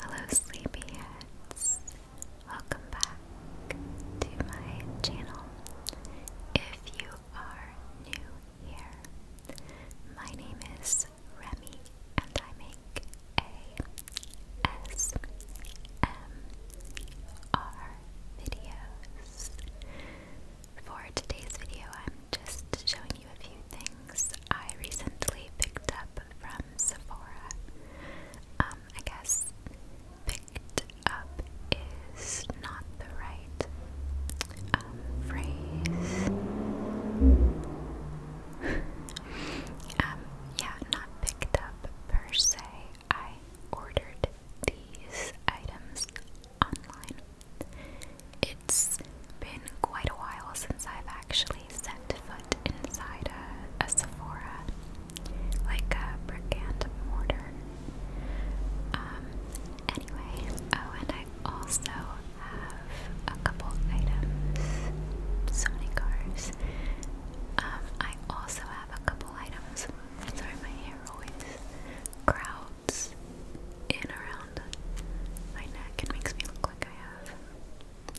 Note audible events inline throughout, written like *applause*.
Hello, sleepyheads. Welcome back to my channel. If you are new here, my name is Remy, and I make ASMR videos. For today's video, I'm just showing a few things I recently picked up from Sephora. Um, I guess picked up is not the right um, phrase. *laughs* Um, yeah, not picked up per se. I ordered these items online. It's been quite a while since I've actually actually set foot inside a, Sephora, like brick and mortar. Um, anyway, oh, and I also have a couple items, so many cars. Um, I also have a couple items. Sorry, my hair always crowds in around my neck. It makes me look like I have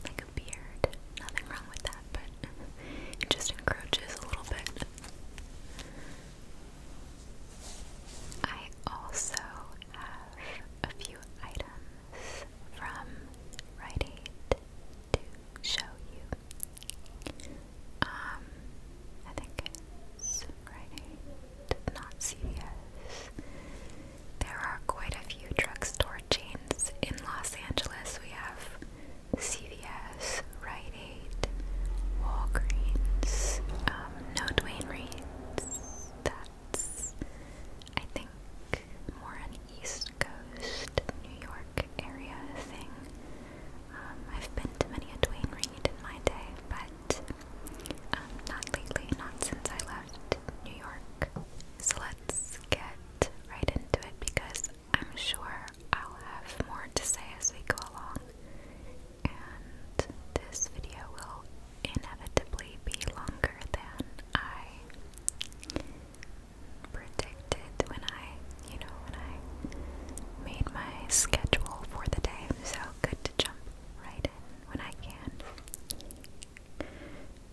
like a beard. Nothing wrong with that, but *laughs* it just encroaches a little bit. I also have a few items from Rite to show you. Um, I think it's Rite not CVS. There are quite a few drugstore chains in Los Angeles. We have CVS, Rite Aid, Walgreens, um, no Dwayne Reed. That's, I think, more an East Coast, New York area thing. Um, I've been to many a Dwayne Reed in my day, but um, not lately, not since I left New York. So let let's get right into it because I'm sure I'll have more to say as we go along, and this video will inevitably be longer than I predicted when I, you know, when I made my schedule for the day. So good to jump right in when I can.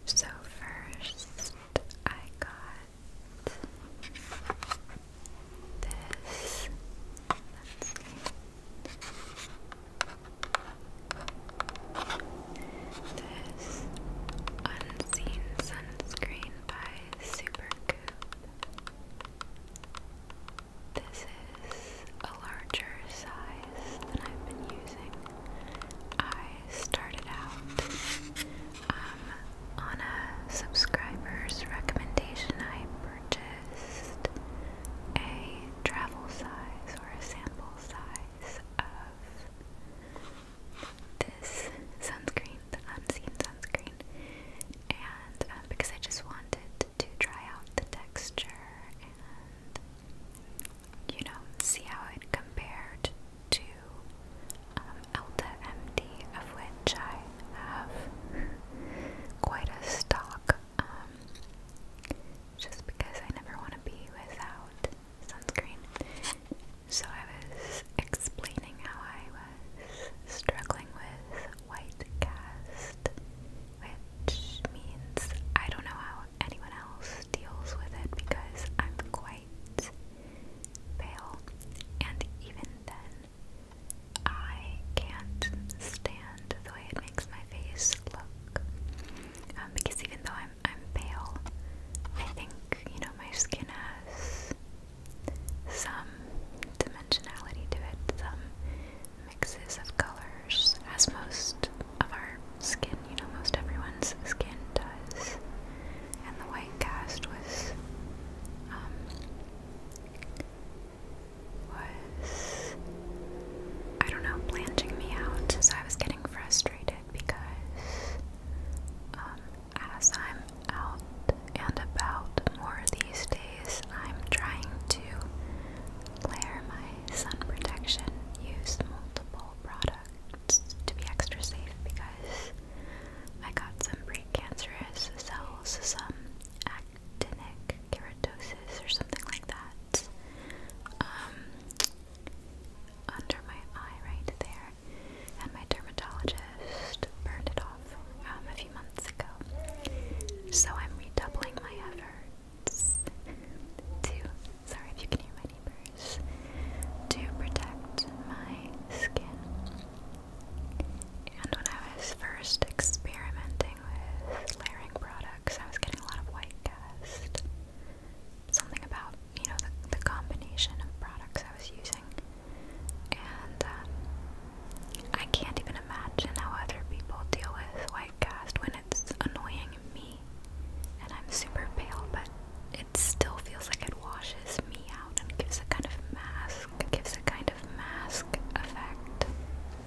So first I got this. This unseen sunscreen by Supergoop. This is a larger size eyes I've been using. I started out um, on a subscriber's recommendation. I purchased a travel size or a sample size of this sunscreen, the unseen sunscreen, and um, because I just wanted to try out the texture and you know, see how it compared to um, MD, of which I have quite a stock, um, just because I never want to be without sunscreen. So I was explaining how I was struggling with white cast, which means I don't know how anyone else deals with it because I'm quite pale, and even then, I can't stand the way it makes my face look. Um, because even though I'm I'm pale, I think you know my skin has some dimensionality to it, some mixes of colors, as most of our skin, you know, most everyone's skin does. And the white cast was, um, was, I don't know, blanching me out. So I was getting frustrated because um, as I'm out and about more these days, I'm trying to layer my sun protection, use multiple products to be extra safe because I got some pre-cancerous cells, some actinic keratosis or something like that, um, under my eye right there, and my dermatologist burned it off um, a few months ago. So I'm redoubling my efforts to sorry if you can hear my neighbors, to protect my skin. And when I was first experimenting with layering products, I was getting a lot of white cast. Something about, you know, the, the combination of products I was using. And um, I can't even imagine how other people deal with white cast when it's annoying me and I'm super pale, but it still feels like it washes me out and gives a kind of mask. It gives a kind of mask effect.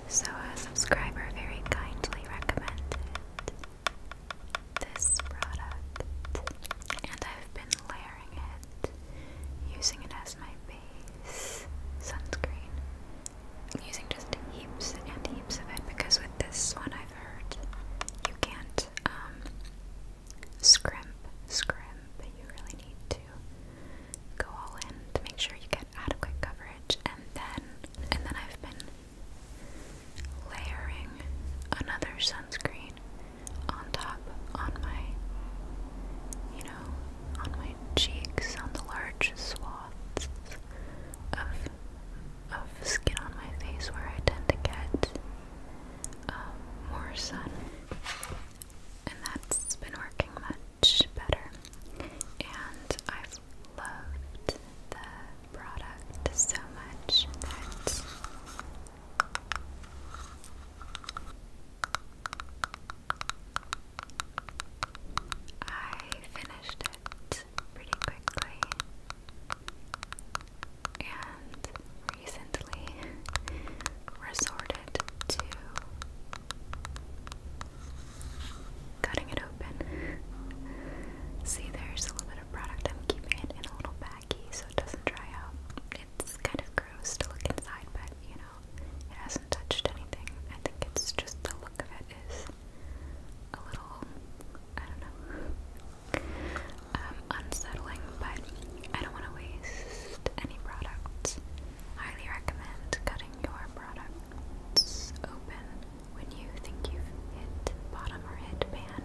So a subscriber very kindly recommended this product, and I've been layering it, using it as my base sunscreen. Using just heaps and heaps of it because with this one I i you can't um, scrimp, but You really need to go all in to make sure you get adequate coverage, and then and then I've been layering another sunscreen on top on my, you know, on my cheeks on the large swaths of of skin on my face where I tend to get um, more sun, and that's been working much better. And I've loved the product so much that. I finished it pretty quickly and recently resorted to cutting it open. See, there's a little bit of product. I'm keeping it in a little baggie so it doesn't dry out. It's kind of gross to look inside, but you know, it hasn't touched anything. I think it's just the look of it is a little, I don't know, um, unsettling, but I don't want to waste any products. Highly recommend cutting your products open when you think you've hit bottom or hit pan.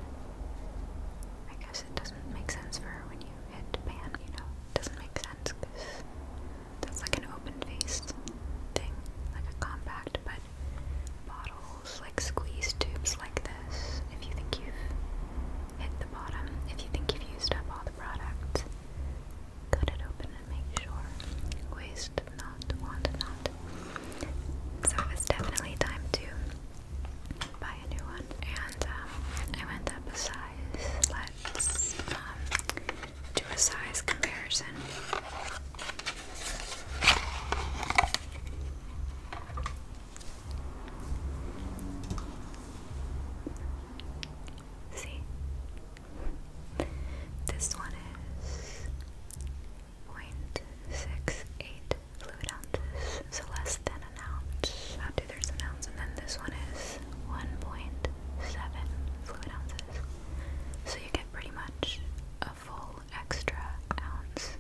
I guess it doesn't make sense for when you hit pan, you know, it doesn't make sense because that's like an open faced thing, like a compact, but bottles, like squeeze tubes like this. If you think you've hit the bottom, if you think you've used up all the product, cut it open and make sure. Waste not, want not. So it was definitely time to buy a new one. And um, I went up a size. Let's um, do a size comparison. See? This one is 0.68 fluid ounces, so less than an ounce. After there's an ounce, and then this one is 1.7 fluid ounces. So you get pretty much full extra ounce.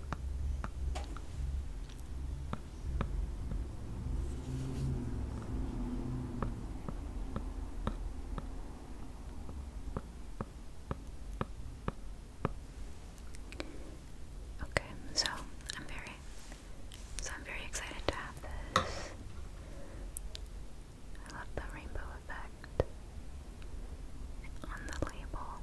Okay, so I'm very so I'm very excited to have this. I love the rainbow effect on the label.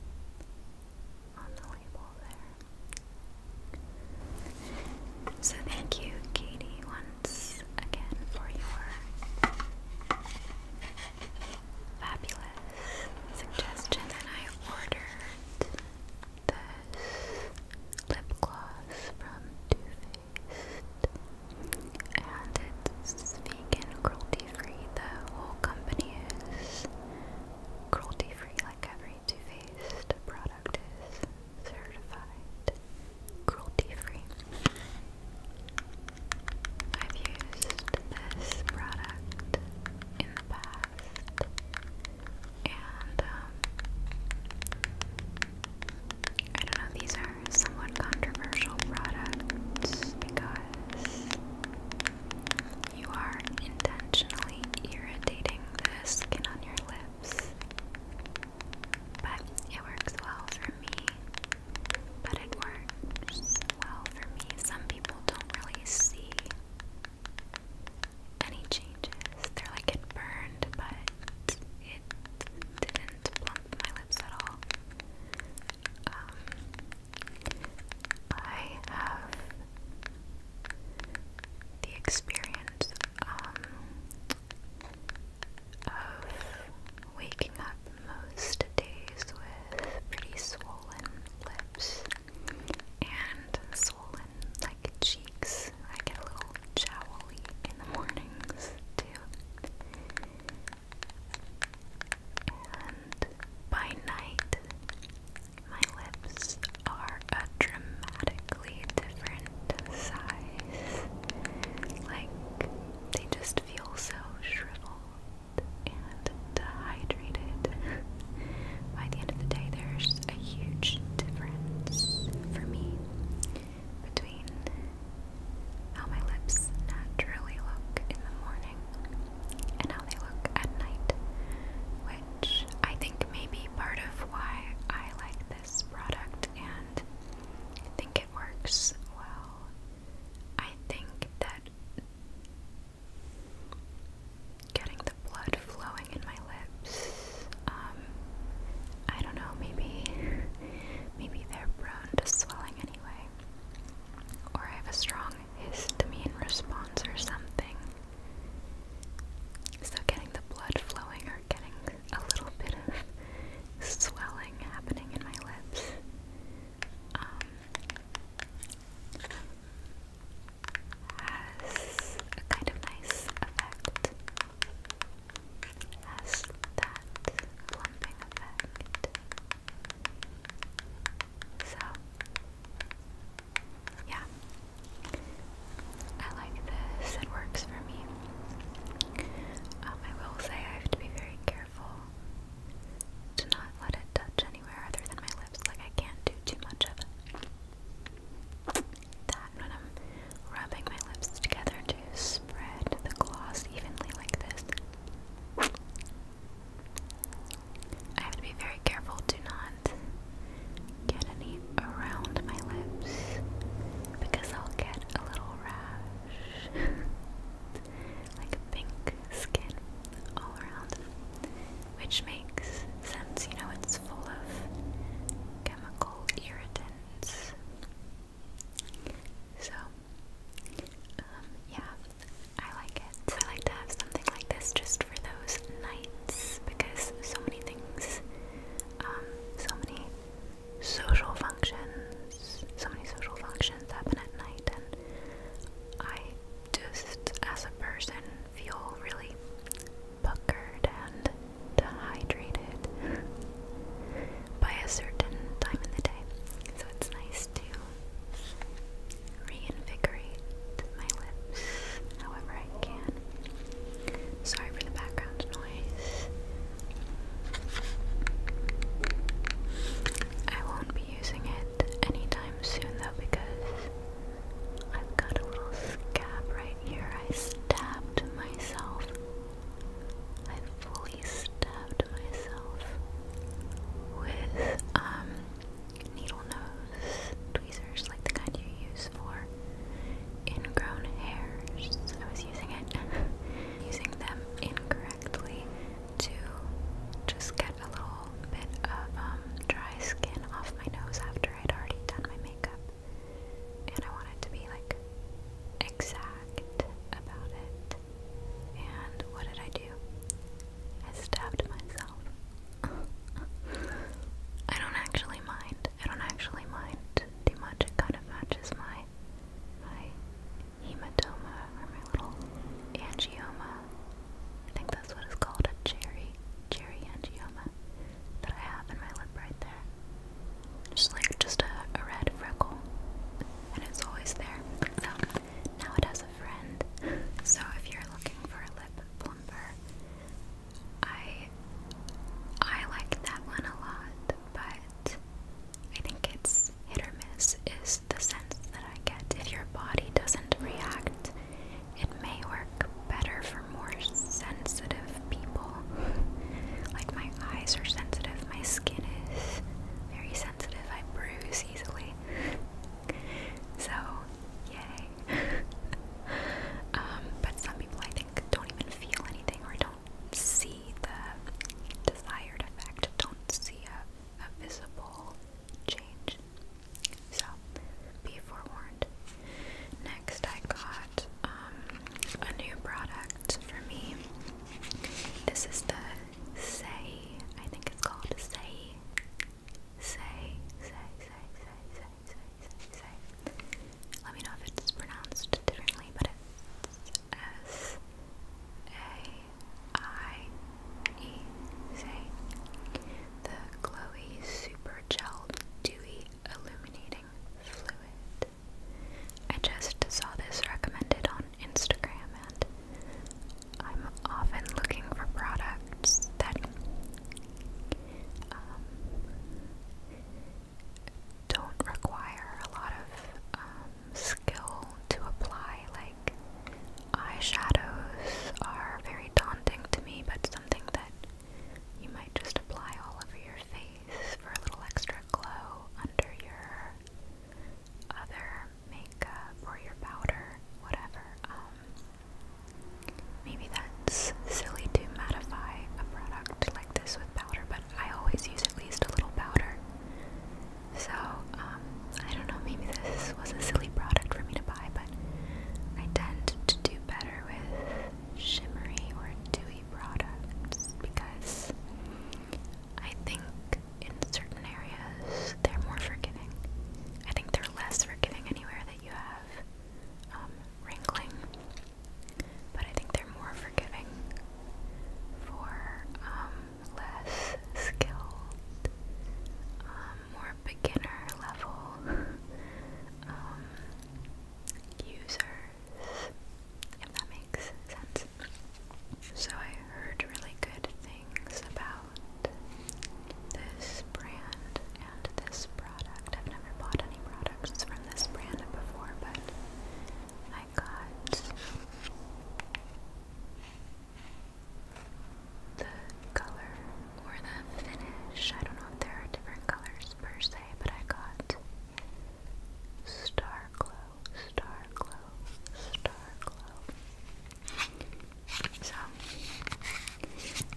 So thank you, Katie, once again for your fabulous suggestion. And I ordered this lip gloss from Too Faced, and it's vegan, cruelty-free. The whole company is. Cruelty-free like every Too Faced product is certified cruelty-free. I've used this product in the past and um, I don't know, these are somewhat controversial products because you are intentionally irritating the skin on your lips. But it works well for me. But it works well for me. Some people don't really see any changes. They're like, it burned, but it didn't plump my lips at all. Um, I have the experience um, of waking up most days with pretty swollen lips and swollen like cheeks. I get a little jowly in the mornings too by night, my lips are a dramatically different size. Like, they just feel so shriveled and dehydrated. by the end of the day, there's a huge difference for me between how my lips naturally look in the morning and how they look at night, which I think may be part of why I like this product and I think it works well. I think that getting the blood flowing in my lips, um, I don't know, maybe maybe they're prone to swelling anyway. Or I have a strong histamine response or something. So, getting the blood flowing or getting a little bit of swelling happening in my lips. Um, has a kind of nice effect. Has that plumping effect. So yeah. I like this. It works for me. Um, I will say I have to be very careful to not let it touch anywhere other than my lips. Like, I can't do too much of it. That when I'm rubbing my lips together to spread the gloss evenly like this. I have to be very careful to not get any around my lips because I'll get a little rash. *laughs* like pink skin all around. Which makes sense, you know, it's full of chemical irritants. So, um, yeah, I like it. I like to have something like this just for those nights because so many things, um, so many social functions, so many social functions happen at night, and I just, as a person, feel really puckered and dehydrated by a certain time in the day. So it's nice to reinvigorate my lips however I can. Sorry for the background noise. I won't be using it anytime soon though because I've got a little scab right here. I stabbed myself. I fully stabbed myself with um needle nose tweezers, like the kind you use for ingrown hairs. I was using it, *laughs* using them incorrectly to just get a little bit of um, dry skin off my nose after I'd already done my makeup. And I wanted to be like exact about it. And what did I do? I stabbed myself. *laughs* I don't actually mind. I don't actually mind too much. It kind of matches my my hematoma or my little angioma. I think that's what it's called, a cherry cherry angioma that I have in my lip right there. Just like just a, a red freckle. And it's always there. So now it has a friend. *laughs* So if you're looking for a lip I I like that one a lot, but I think it's hit or miss is the sense that I get. If your body doesn't react, it may work better for more sensitive people. like my eyes are sensitive, my skin is very sensitive, I bruise easily. So, yay. *laughs* Um, but some people I think don't even feel anything or don't see the desired effect, don't see a, visible change. So, be forewarned. Next, I got um, a new product for me. This is the Say, I think it's called Say say, say, say, say, say, say, say, Let me know if it's pronounced differently, but it's S A I E. Say the Chloe Super Gel Dewy Illuminating Fluid. I just saw this recommended on Instagram, and I'm often looking for products that um, don't require a lot of um, skill to apply. Like eyeshadows are very daunting to me, but something that you might just apply all over your face for a little extra glow under your other makeup or your powder, whatever. Um, Maybe that's silly to modify a product like this with powder, but I always use at least a little powder. So, um, I don't know, maybe this was a silly product for me to buy, but I tend to do better with shimmery or dewy products because I think in certain areas they're more forgiving. I think they're less forgiving anywhere that you have have um, wrinkling, but I think they're more forgiving for um, less skilled, um, more beginner level *laughs* um, users, if that makes sense. So I heard really good things about this brand and this product. I've never bought any products from this brand before, but I got the color or the finish. I don't know if there are different colors per se, but I got Star Glow, Star Glow, Star Glow. So,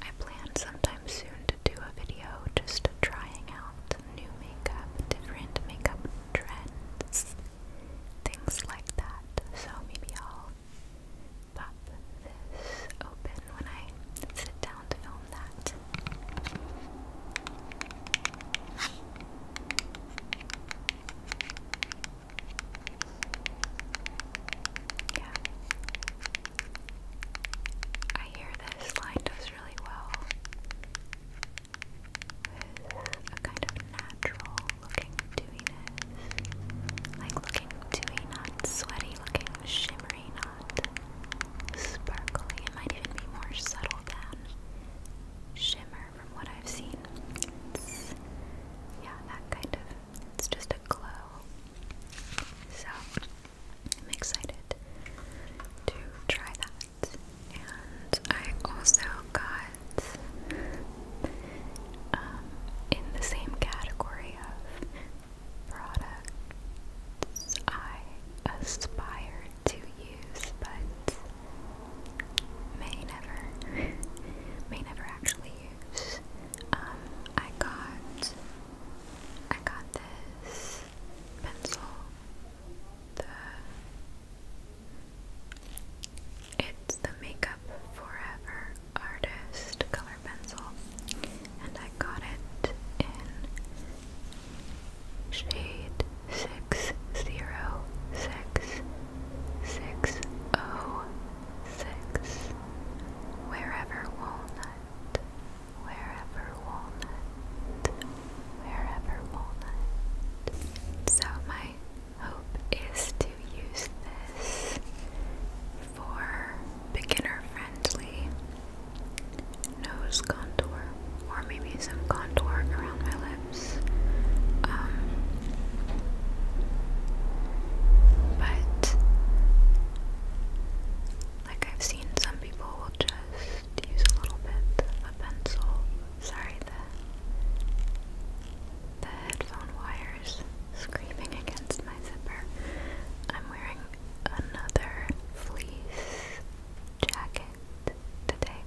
I plan sometime soon to do a video just trying out new makeup, different makeup trends, things like that. So, maybe I'll pop this open when I sit down to film that. Yeah. I hear this line does really well with kind of natural looking dewiness. Like looking dewy, not sweaty, looking shimmery, not sparkly. It might even be more subtle than shimmer from what I've seen. It's, yeah, that kind of it's just a glow. So I'm excited to try that. And I also got um, in the same category of products I aspire to use, but may never, may never actually use. Um, I got I got this pencil. it's the Makeup Forever Artist color pencil, and I got it in shade six zero six six oh six wherever walnut wherever walnut, wherever walnut. So, my hope is to use this for beginner friendly nose contour or maybe some contour around my lips. Um, but like I've seen some people will just use a little bit of pencil. Sorry, the the headphone wires screaming against my zipper. I'm wearing another fleece jacket today.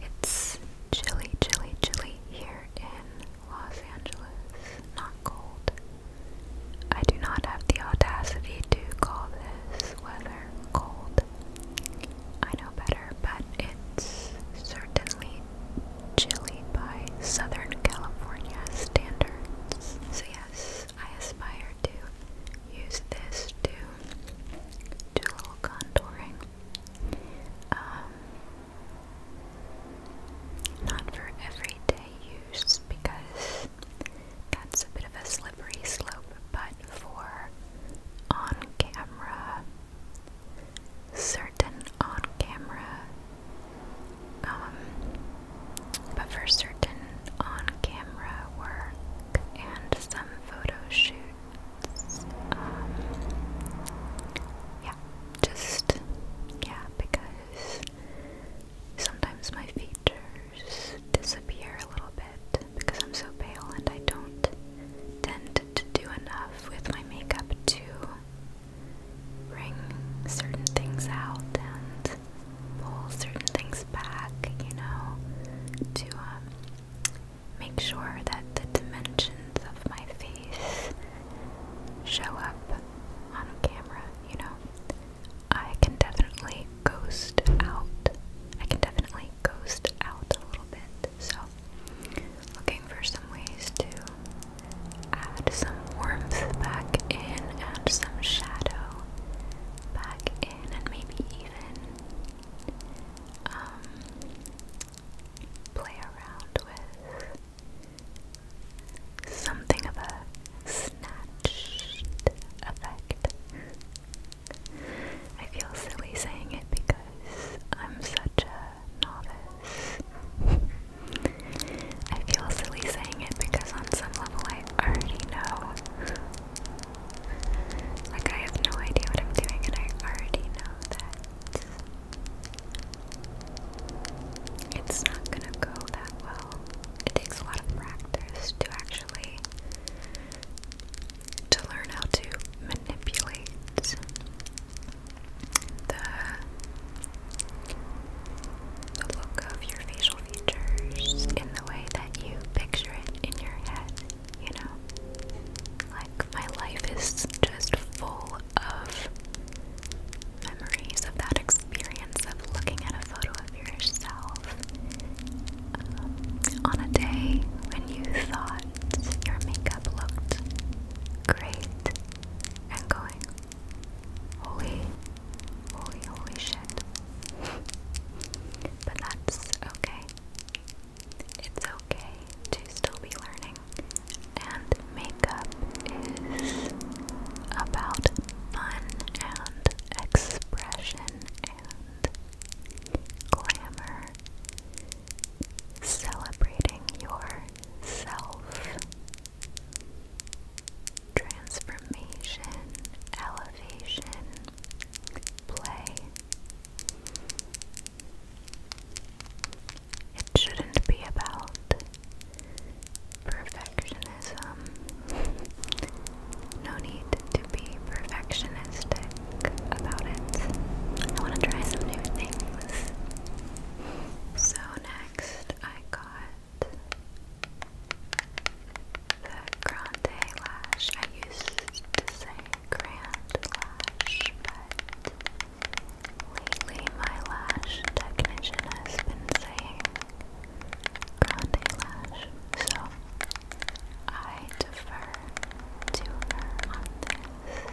It's chilly, chilly, chilly here in Los Angeles, not cold. I do not have the audacity to call this weather cold. I know better, but it's certainly chilly by Southern California standards. So, yes, I aspire to use this to do a little contouring. Um, not for everyday use because that's a bit of a slippery slope, but for on camera, certain on camera, um, but for certain on camera work and some photo shoots, um, yeah, just, yeah, because Sometimes my features disappear a little bit because I'm so pale and I don't tend to do enough with my makeup to bring certain things out and pull certain things back, you know, to um, make sure that the dimensions of my face show up on a camera you know, I can definitely ghost out. I can definitely ghost out a little bit. So, looking for some ways to add some warmth back in and some shadow back in, and maybe even um, play around with Something of a snatched effect. I feel silly saying it because I'm such a novice. I feel silly saying it because on some level I already know. Like I have no idea what I'm doing and I already know that. It's not gonna go that well. It takes a lot of practice to actually to learn how to manipulate the the look of your facial features in the way that you picture it in your head, you know? Like, my life is just full of memories of that experience of looking at a photo of yourself um, on a day when you thought your makeup looked great and going, holy, holy, holy shit. but that's okay. It's okay to still be learning and makeup is about fun and expression and glamour, celebrating yourself, transformation, elevation, play. It shouldn't be about Perfectionism. no need to be perfectionistic about it. I want to try some new things. So, next I got the Grande Lash. I used to say Grand Lash, but lately my lash technician has been saying grande lash, so I defer to her on this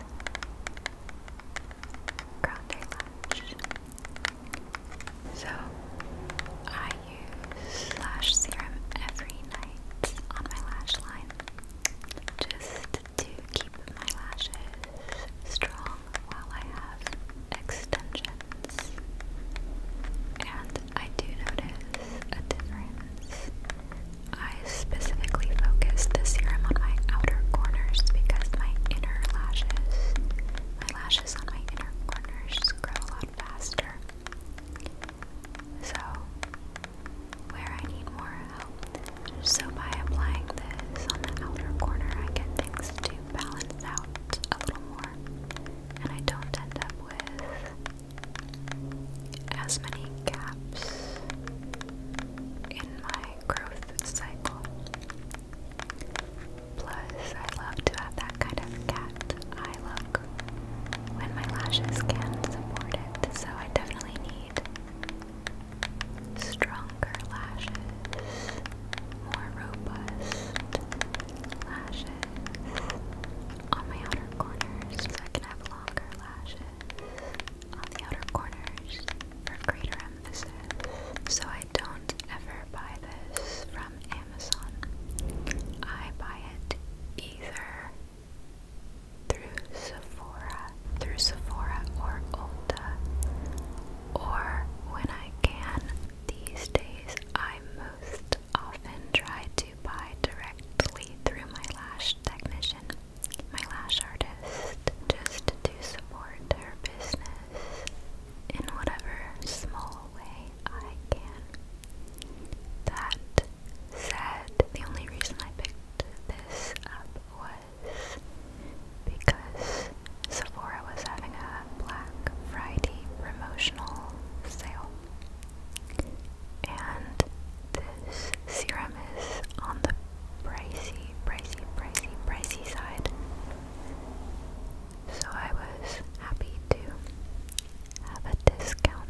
grande lash. So I use lash serum every night on my lash line just to keep my lashes strong while I have extensions. And I do notice a difference. I specifically focused the serum on my outer corners because my inner lashes, my lashes on my inner corners grow a lot faster. So, where I need more help. So, by applying this on the outer corner, I get things to to out a little more, and I don't end up with as many gaps in my growth cycle. Plus, I love to have that kind of cat eye look when my lashes can support it, so I definitely need stronger lashes more robust lashes on my outer corners so I can have longer lashes on the outer corners for greater emphasis. So I don't ever buy this from Amazon. I buy it either through Sephora, through Sephora or Ulta, or when I can, these days, I most often try to buy directly through my lash technician, my lash artist, just to support her business in whatever small way I can. That said, the only reason I picked this up was because Sephora was having a Black Friday promotional sale. And this serum is on the pricey, pricey, pricey, pricey side. So I was happy to have a discount.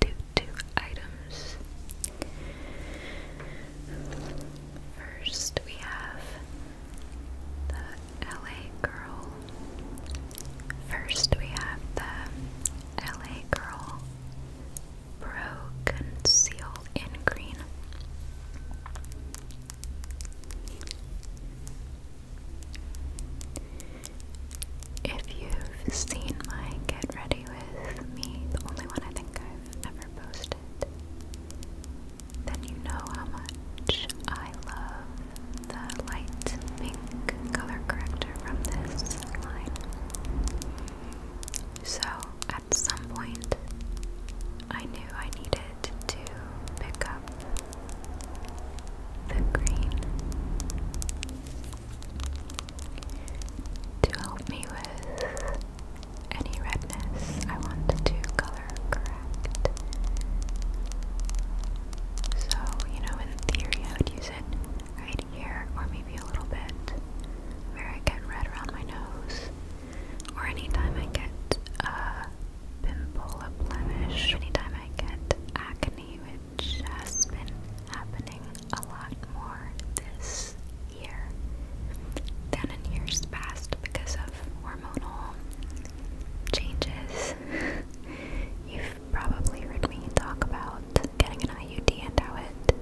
two, two items. First, we have the LA Girl. First, we have the LA Girl Pro Conceal in Green. If you've seen my Get Ready With Me, the only one I think I've ever posted, then you know how much I love the light pink color corrector from this line. So, at some point, I knew I needed to pick up the green to help me with any redness I wanted to color correct. So, you know, in theory I would use it right here or maybe a little bit where I get red around my nose or anytime I get a pimple, blemish, anytime I get acne, which has been happening a lot more this year than in years past because of hormonal changes. *laughs* You've probably heard me talk about getting an IUD and how it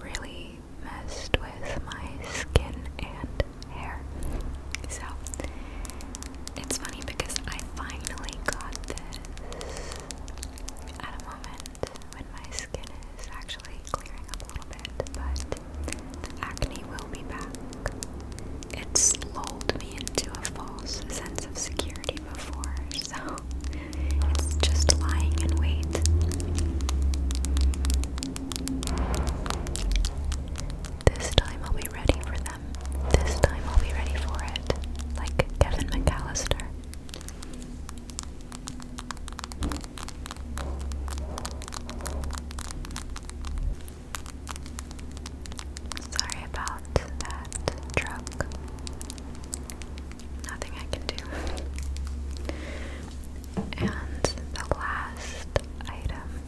really messed with my skin and hair. So it's funny because I finally got this moment when my skin is actually clearing up a little bit, but the acne will be back. It's lulled me into a false sense of security before, *laughs* so it's just lying in wait. This time I'll be ready for them. This time I'll be ready for it. Like Kevin McAllister. Sorry about that truck. Nothing I can do. And the last item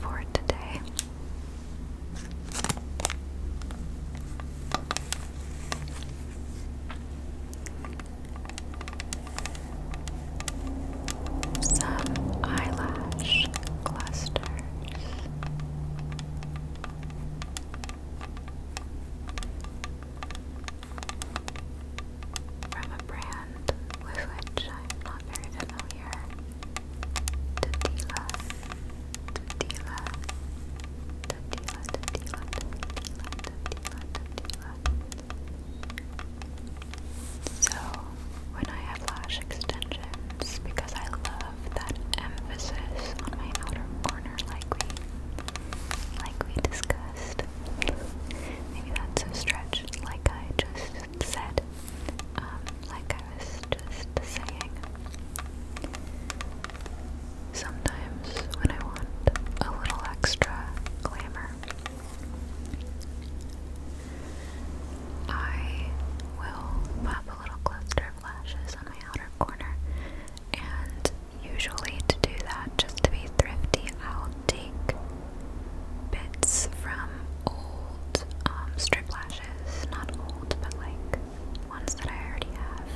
for today some eyelash clusters. From a brand with which I'm not very familiar, Tatila, So, when I have lash extensions, because I love that emphasis on my outer corner, like we, like we discussed, maybe that's a stretch, like I just said. like I was just saying, Sometimes when I want a little extra glamour, I will pop a little cluster of lashes on my outer corner, and usually to do that, just to be thrifty, I'll take bits from old um, strip lashes, not old, but like ones that I already have,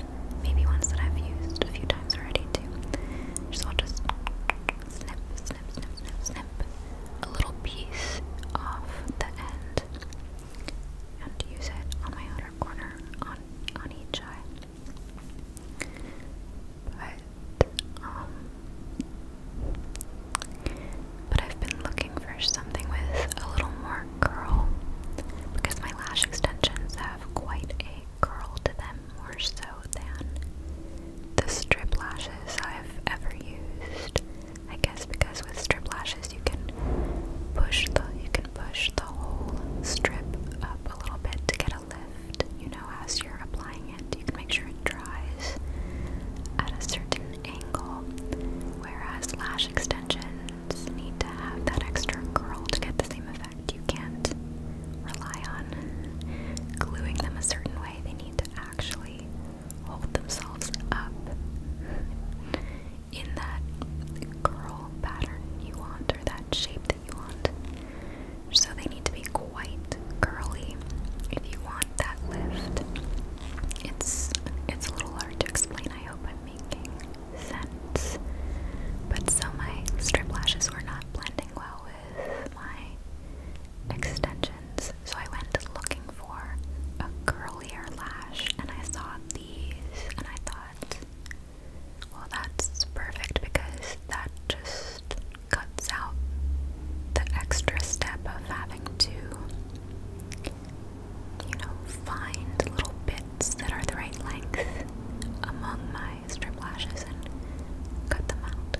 maybe ones that I've used a few times already too. So I'll just snip, snip, snip, snip, snip a little piece off the end and use it on my outer corner on on each eye. But um but I've been looking for something with a little more curl because my lash extensions have quite a curl to them, more so than the strip lashes I've ever used. I guess because with strip lashes you can push the you can push the whole strip up a little bit to get a lift. You know, as you're applying it, you can make sure it dries at a certain angle. Whereas lash extensions need to have that extra curl to get the same effect. You can't rely on gluing them a certain way. They need to actually hold themselves up in that curl pattern you want or that shape that you want. So they need to be quite curly if you want that lift. It's it's a little hard to explain. I hope I'm making sense. But so my strip lashes were not blending well with my extensions, so I went looking for a curlier lash and I saw these and I thought, well, that's perfect because that just cuts out the extra step of having to you know, find little bits that are the right length among my strip lashes and cut them out.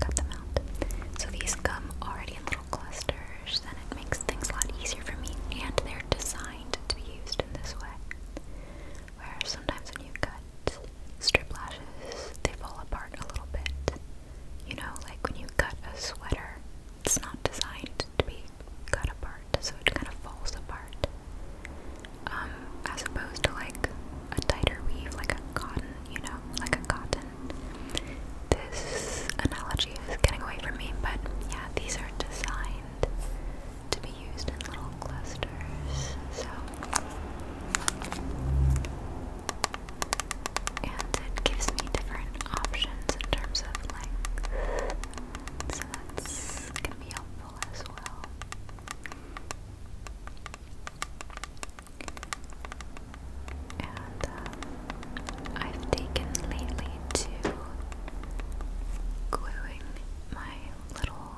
Cut, them out. So these come already in little clusters, and it makes things a lot easier for me. And they're designed to be used in this way, where sometimes when you cut strip lashes, they fall apart a little bit. You know, like when you cut a sweater, it's not designed to be cut apart, so it kind of falls apart. Um, as opposed to like a tighter weave, like a cotton, you know, like a cotton. This analogy is getting away from me, but yeah, these are designed to be used in little clusters. So, and it gives me different options in terms of length. So that's going to be helpful as well. And um, I've taken lately to gluing my little,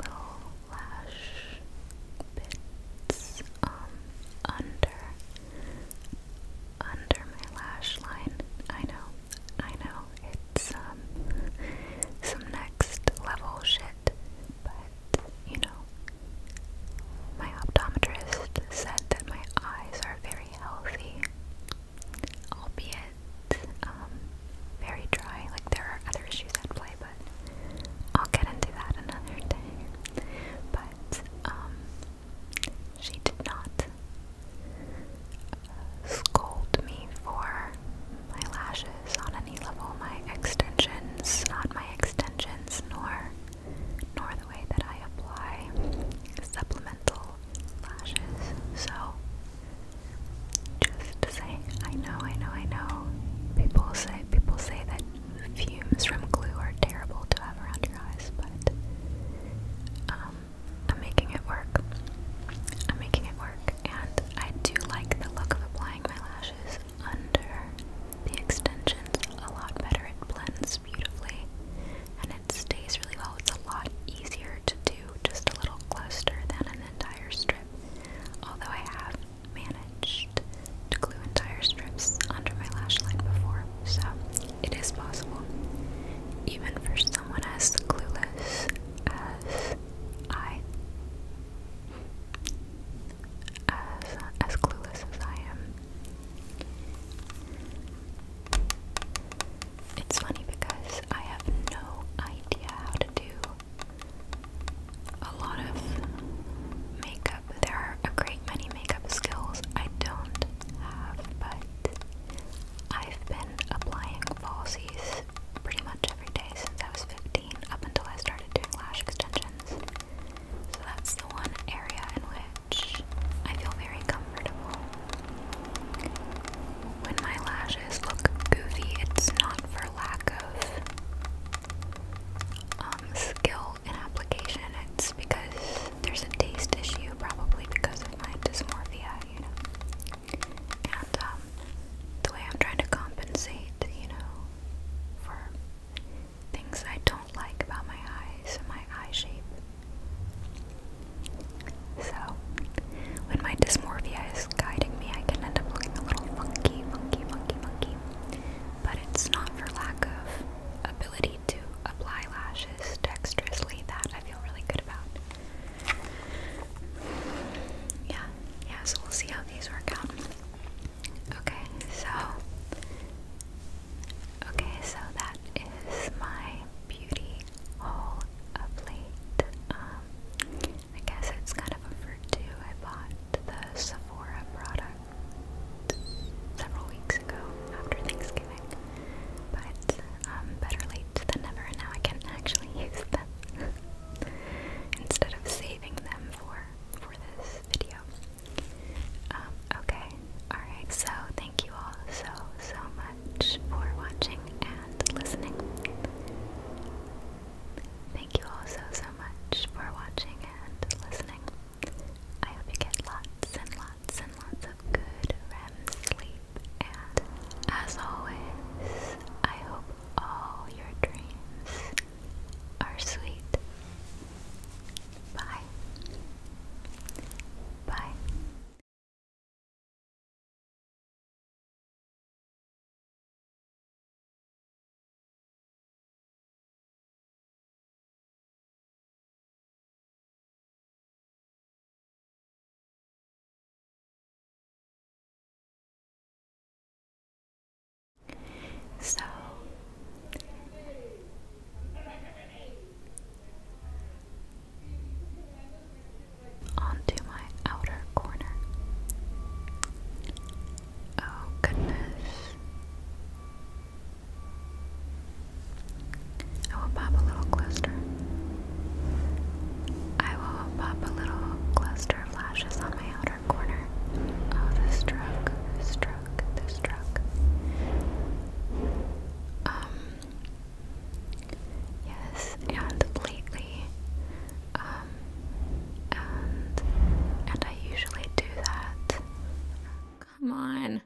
little lash bits um, under under my lash line. I know, I know, it's um some next level shit, but you know, my optometrist said that my eyes are very healthy, albeit um very dry. Like there are other issues at play, but I'll get into that another day. But um she did not uh, scold me for my lashes on any level, my extensions, not my extensions, nor nor the way that I apply supplemental lashes. So just to say, I know, I know, I know. People say people say that fumes from glue are terrible to have around your eyes, but um, I'm making it work. I'm making it work, and I do like the look of applying my lashes under the extensions a lot better. It blends beautifully, and it stays really well. It's a lot easier to do just a little cluster than an entire strip. Although I have managed to glue entire strips under my lash line before, so it is possible, even for someone as clueless as I. As, as clueless as I am. It's funny because I have no idea how to do a lot of makeup. There are a great many makeup skills I don't have, but I've been applying falsies pretty much every day since I was 15 up until I started doing lash extensions. So that's the one area in which I feel very comfortable. When my lashes look goofy, it's not for lack of um, skill in application, it's because there's a taste issue, probably because of my dysmorphia, you know. And um, the way I'm trying to compensate, you know, for things I don't like about my eyes and my eye shape. So, when my dysmorphia is guiding me, I can end up looking a little funky, funky, funky, funky. But it's not for lack of ability to apply lashes dexterously that I feel really good about. Yeah, yeah, so we'll see how these work out. Okay, so okay, so that is my beauty haul of late. Um, I guess it's kind of a virtue. I bought the Sephora product several weeks ago after Thanksgiving. But um, better late than never, and now I can actually use them *laughs* instead of saving them for for this video. Um, okay, alright, so thank you all so, so much for watching and listening. Thank you all so, so much for watching and listening. I hope you get lots and lots and lots of good REM sleep. And as always, I hope all your dreams are sweet. Bye. Bye. So onto my outer corner. Oh, goodness. I will pop a little cluster. I will pop a little cluster of lashes on my outer corner. Oh, this stroke, this stroke, this stroke. Um, yes, and lately, um, and, and I usually do that. Come on.